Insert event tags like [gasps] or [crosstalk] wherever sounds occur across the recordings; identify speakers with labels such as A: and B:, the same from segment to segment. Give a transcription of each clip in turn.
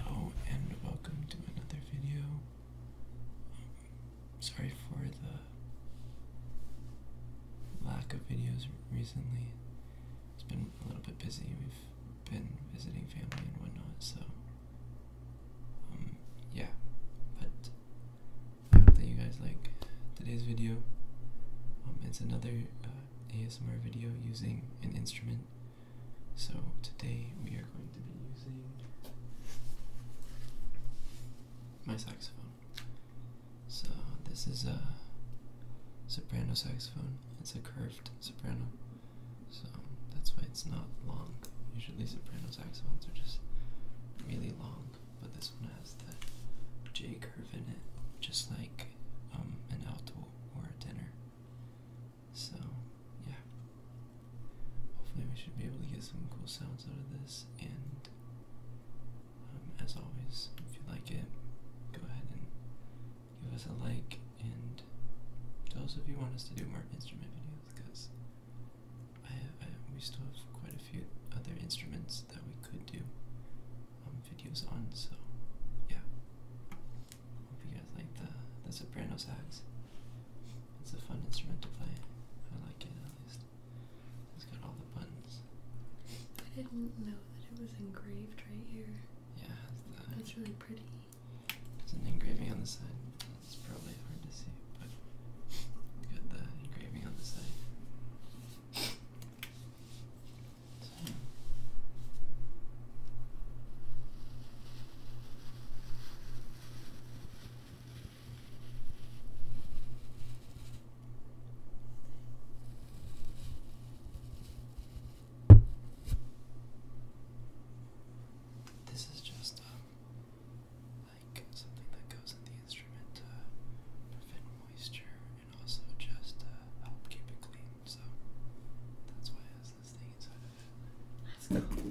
A: Hello and welcome to another video. Um, sorry for the lack of videos recently. It's been a little bit busy. We've been visiting family and whatnot, so um, yeah. But I hope that you guys like today's video. Um, it's another uh, ASMR video using an instrument. So today we are going to be using my saxophone. So this is a soprano saxophone. It's a curved soprano. So that's why it's not long. Usually soprano saxophones are just really long, but this one has the J curve in it, just like um, an alto or a tenor. So, yeah. Hopefully, we should be able to get some cool sounds out of this. And um, as always, if you like it, go ahead and give us a like. And tell us if you want us to do more instrument videos, because we still have quite a few other instruments that we could do um, videos on. So, yeah. Hope you guys like the the soprano sax. It's a fun instrument to play. I like it at least. It's got all the buttons.
B: I didn't know that it was engraved right here. Yeah,
A: that's really pretty. There's an engraving on the side. It's probably hard to see, but we got the engraving on the side. This is just um, like something that goes in the instrument to prevent moisture and also just uh, help keep it clean. So that's why it has this thing inside of it. Let's go.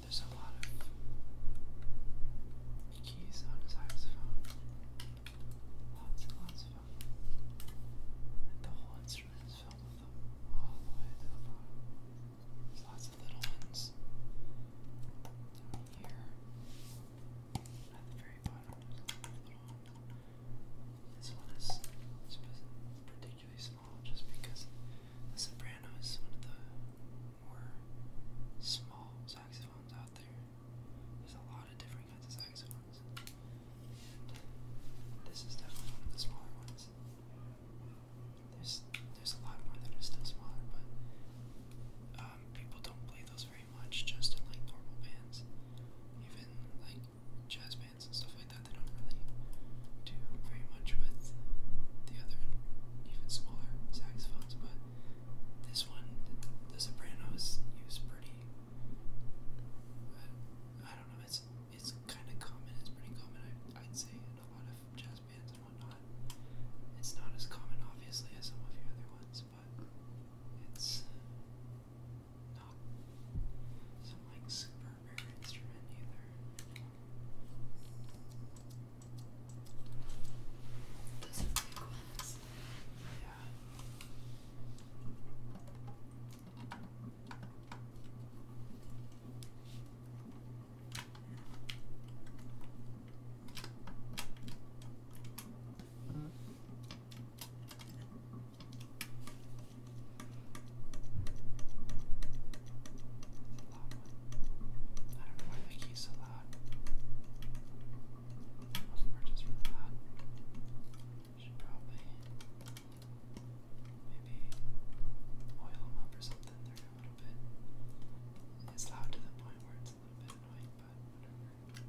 A: There's a lot of keys on his saxophone. Lots and lots of them. And the whole instrument is filled with them all the way to the bottom. There's lots of little ones down here. At the very bottom, there's little ones. This one is particularly small just because the soprano is one of the more small saxophones out there. There's a lot of different kinds of saxophones. And this is definitely one of the smaller ones. There's there's a lot more that are still smaller, but um, people don't play those very much. Just in like normal bands, even like jazz bands and stuff like that, they don't really do very much with the other even smaller saxophones. But this one, the, the sopranos use pretty. I, I don't know. It's it's kind of common. It's pretty common. I, I'd say in a lot of jazz bands and it's not as common, obviously, as some of your other ones, but it's uh, not some like super rare instrument either. Those are Yeah. I don't know why they keep so loud. Those were just really Should probably maybe oil them up or something for a little bit. It's loud to the point where it's a little bit annoying, but whatever.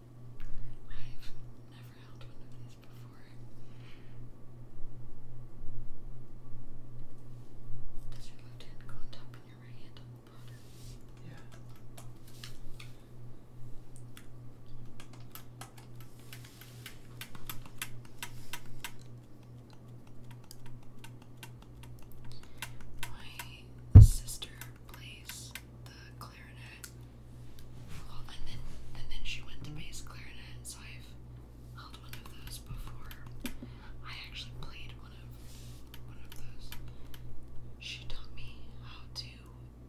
B: I've never held one of these before. Does your left hand go on top and your right hand Yeah. My sister plays the clarinet and then and then she went to bass clarinet, so I've held one of those before. I actually played one of one of those. She taught me how to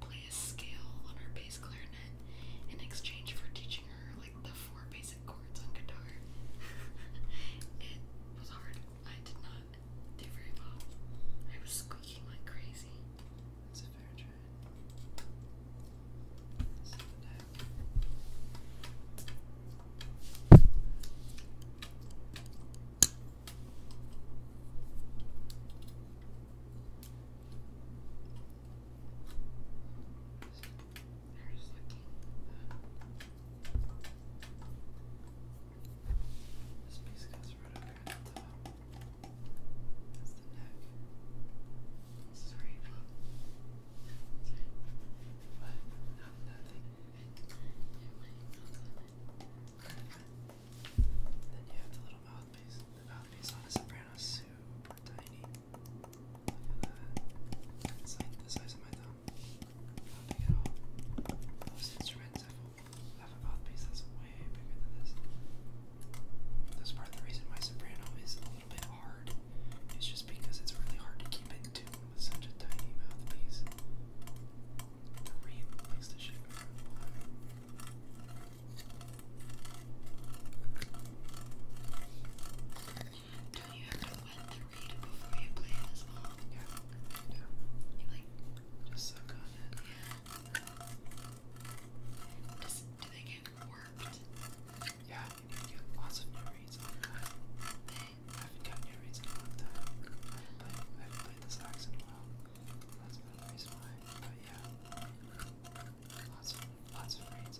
B: play a scale on her bass clarinet in exchange for teaching her like the four basic chords on guitar. [laughs] it was hard. I did not do very well. I was squeaking like crazy a fair trade. Send it out. There's like uh, this piece goes
A: right over at the top. That's Sorry, What? nothing. Then you have the little mouthpiece. The mouthpiece on a soprano is tiny. Look at that. It's like the size of my thumb. Not big at all. Most instruments have have a mouthpiece that's way bigger than this. That's part of the reason my soprano is a little bit hard. It's just because it's really hard to keep in tune with such a tiny mouthpiece. The reed makes the shit Don't you have to wet the reed before you play this song? Yeah. You like suck on it. Yeah, lots of new I haven't got new in a long time. I haven't played, the sax in a while. That's another reason why. But yeah, lots lots of reads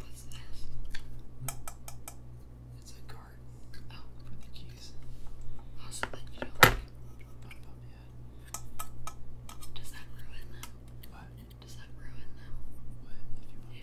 A: What's this? It's a card. Oh, for the keys. Oh, Does that ruin them? What? Does that ruin them? you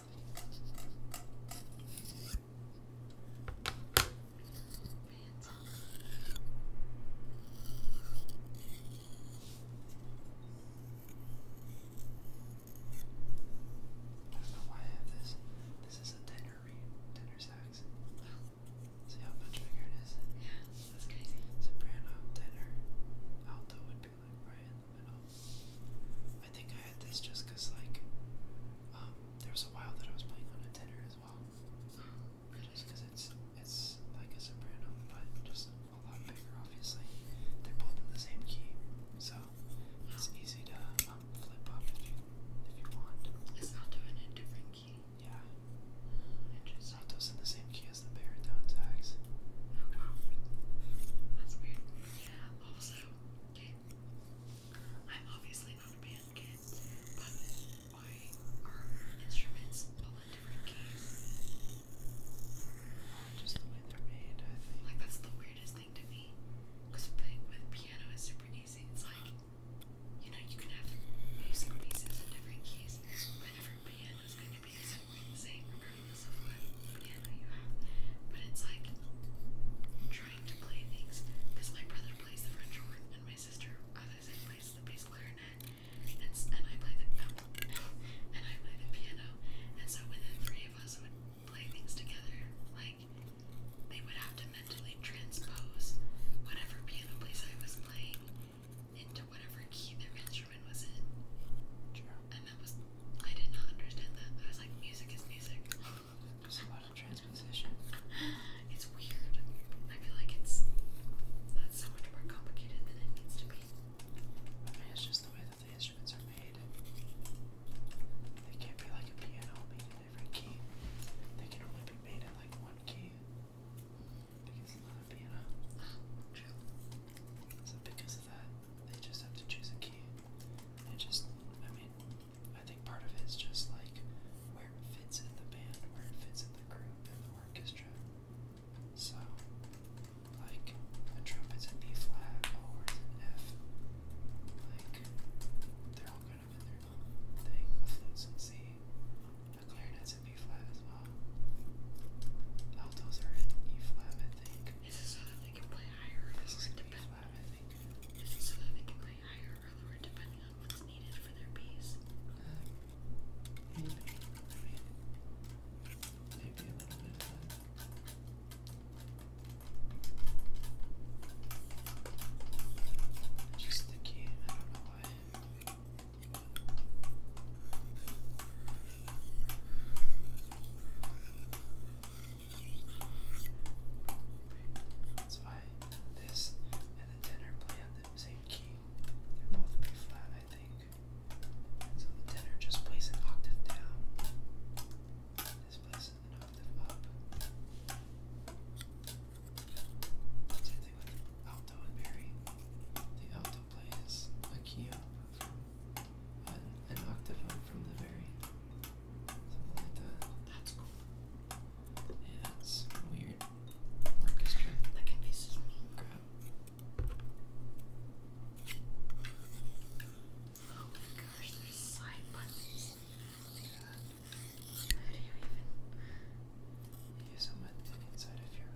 A: I don't know why I have this. This is a tenor reed, tenor sax. See how much bigger it is? Yeah, that's crazy. Soprano, tenor, alto Timberland right in the middle. I think I had this just because, like, um, there was a while that I was playing on a tenor as well. Just because it's, it's like a soprano, but just a lot bigger, obviously. They're both in the same key, so it's easy to um, flip up if you, if you want. It's not doing a different key. Yeah. It's not those in the same key as the baritone sax. Oh, wow. That's weird. Yeah,
B: also, I'm obviously not a band kid, but why are instruments all in different keys? Just the way they're made, Like, that's the weirdest thing to me. playing with piano is super easy. It's like, you know, you can have music pieces in different keys, but every piano is going to be exactly the same, so fun. Yeah, no, you have. But it's like trying to play things because my brother plays the French horn and my sister, as uh, I plays the bass clarinet, and, and I play the um, and I play the piano. And so within three of us would play things together, like they would have to mentally transpose whatever piano place I was playing into whatever key their instrument was in. And that was I did not understand that. I was like, music is music. It's about transposition. [gasps] It's weird.
A: I feel like it's that's so much more complicated than it needs to be. it's just the way that the instruments are made. They can't be like a piano made every key. They can only be made in like one key. Because it's not a piano. [gasps] So because of that, they just have to choose a key. It just, I mean, I think part of it is just like where it fits in the band, where it fits in the group, in the orchestra. So, like, a trumpet's in B flat, or horn's in F. Like, they're all kind of in their thing. A flute's in C. A clarinet's in B flat as well. Altos are in E flat, I think they can so that they can play higher or
B: lower depending on what's needed for their piece. Uh, maybe, a little bit
A: uh, Just the key, that's why this and the tenor play on the same key. They're both pretty flat, I think. So the tenor just plays an octave down. This plays an octave up. Same thing with alto and berry. The alto plays a key an octave from the very something like that. That's cool. Yeah, that's weird. That can be Oh my gosh, there's side buttons. Yeah. How do you even use them inside of your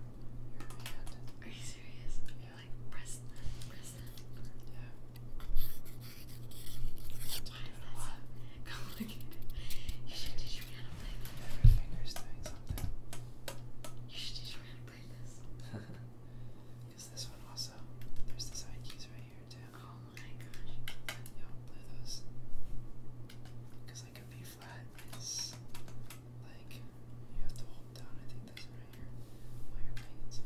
A: your hand? Are you serious? Yeah like, press that, press that. Yeah. Why is that so [laughs] complicated? You should teach me how to play this. Every finger's doing something. You should teach me how to play this. Because [laughs] this one also, there's the side keys right here too. Oh my gosh. And play those. Because like a B flat is like, you have to hold down, I think that's right right here.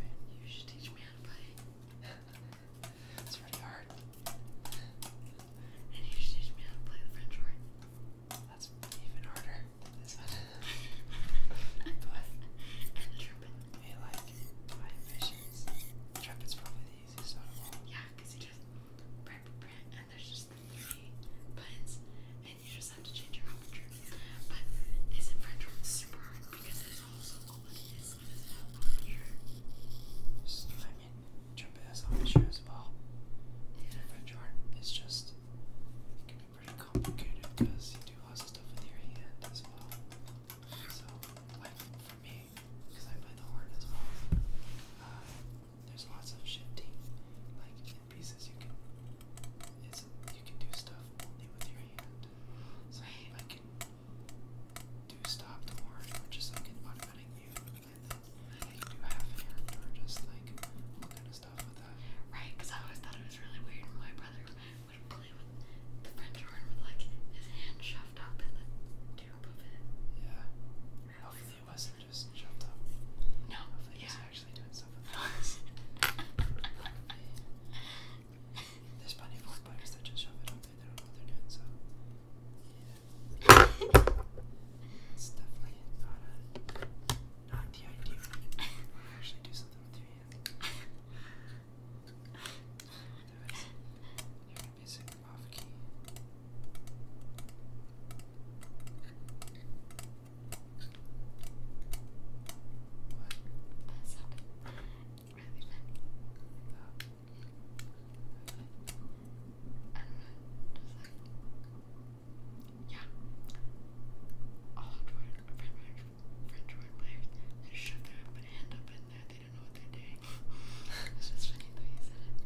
A: Why You should teach me how to play. it's pretty hard. And you should teach me how to play the French horn. That's even harder but the trumpet. like my ambitions. trumpet's probably the easiest of all. Yeah, because just
B: and there's just the three buttons, you just have to change your aperture. But isn't French super hard because it's also
A: all it is I mean, trumpet has as well. Yeah. French is just, can be pretty complicated because you do lots of stuff with your hand as well. So, like for me, because I play the horn as well, uh, there's lots of shifting. Like, pieces, you can you can do stuff only with your hand. So I can do stop the horn, which is like an automatic view, and then or just like all kind of stuff with that. Right,
B: because I always thought it was really weird when my brother would play with the French horn with like his hand shoved up in the tube of it. Yeah. Hopefully it wasn't are just shoved off No, Hopefully actually doing stuff with [laughs] There's plenty of that just shove it up there. They are doing, so. [laughs] it's definitely not a, not the idea. Actually, do something with your hand. Otherwise, off key. That sounded really funny. I don't know, just like, yeah. All Jordan, French, French Jordan players, they shut their hand up in there, they don't know what they're doing. [laughs] it's just funny the way you said it.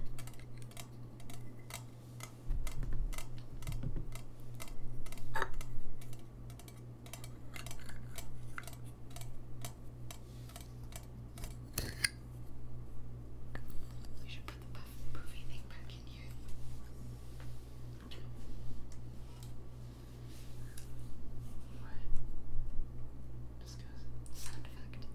B: We should put the puff thing back in here. What?
A: Just sound effect. Okay.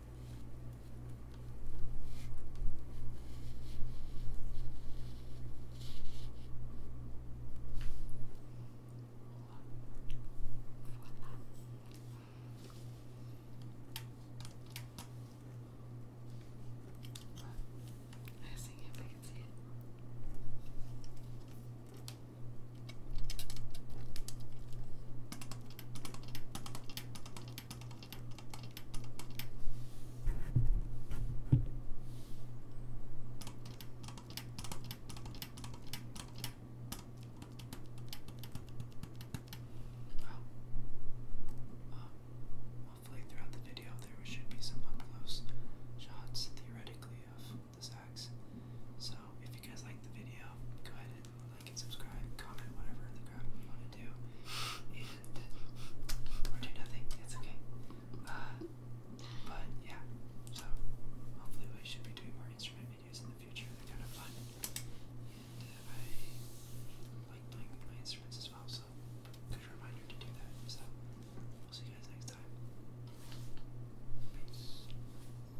A: I see if I can see it. Well, hopefully throughout the video there should be some up close shots theoretically of the axe. So if you guys like the video, go ahead and like and subscribe, comment, whatever the crap you want to do, and or do nothing. It's okay. Uh, but yeah, so hopefully we should be doing more instrument videos in the future. They're kind of fun, and uh, I like playing my instruments as well. So good reminder to do that. So we'll see you guys next time. Peace.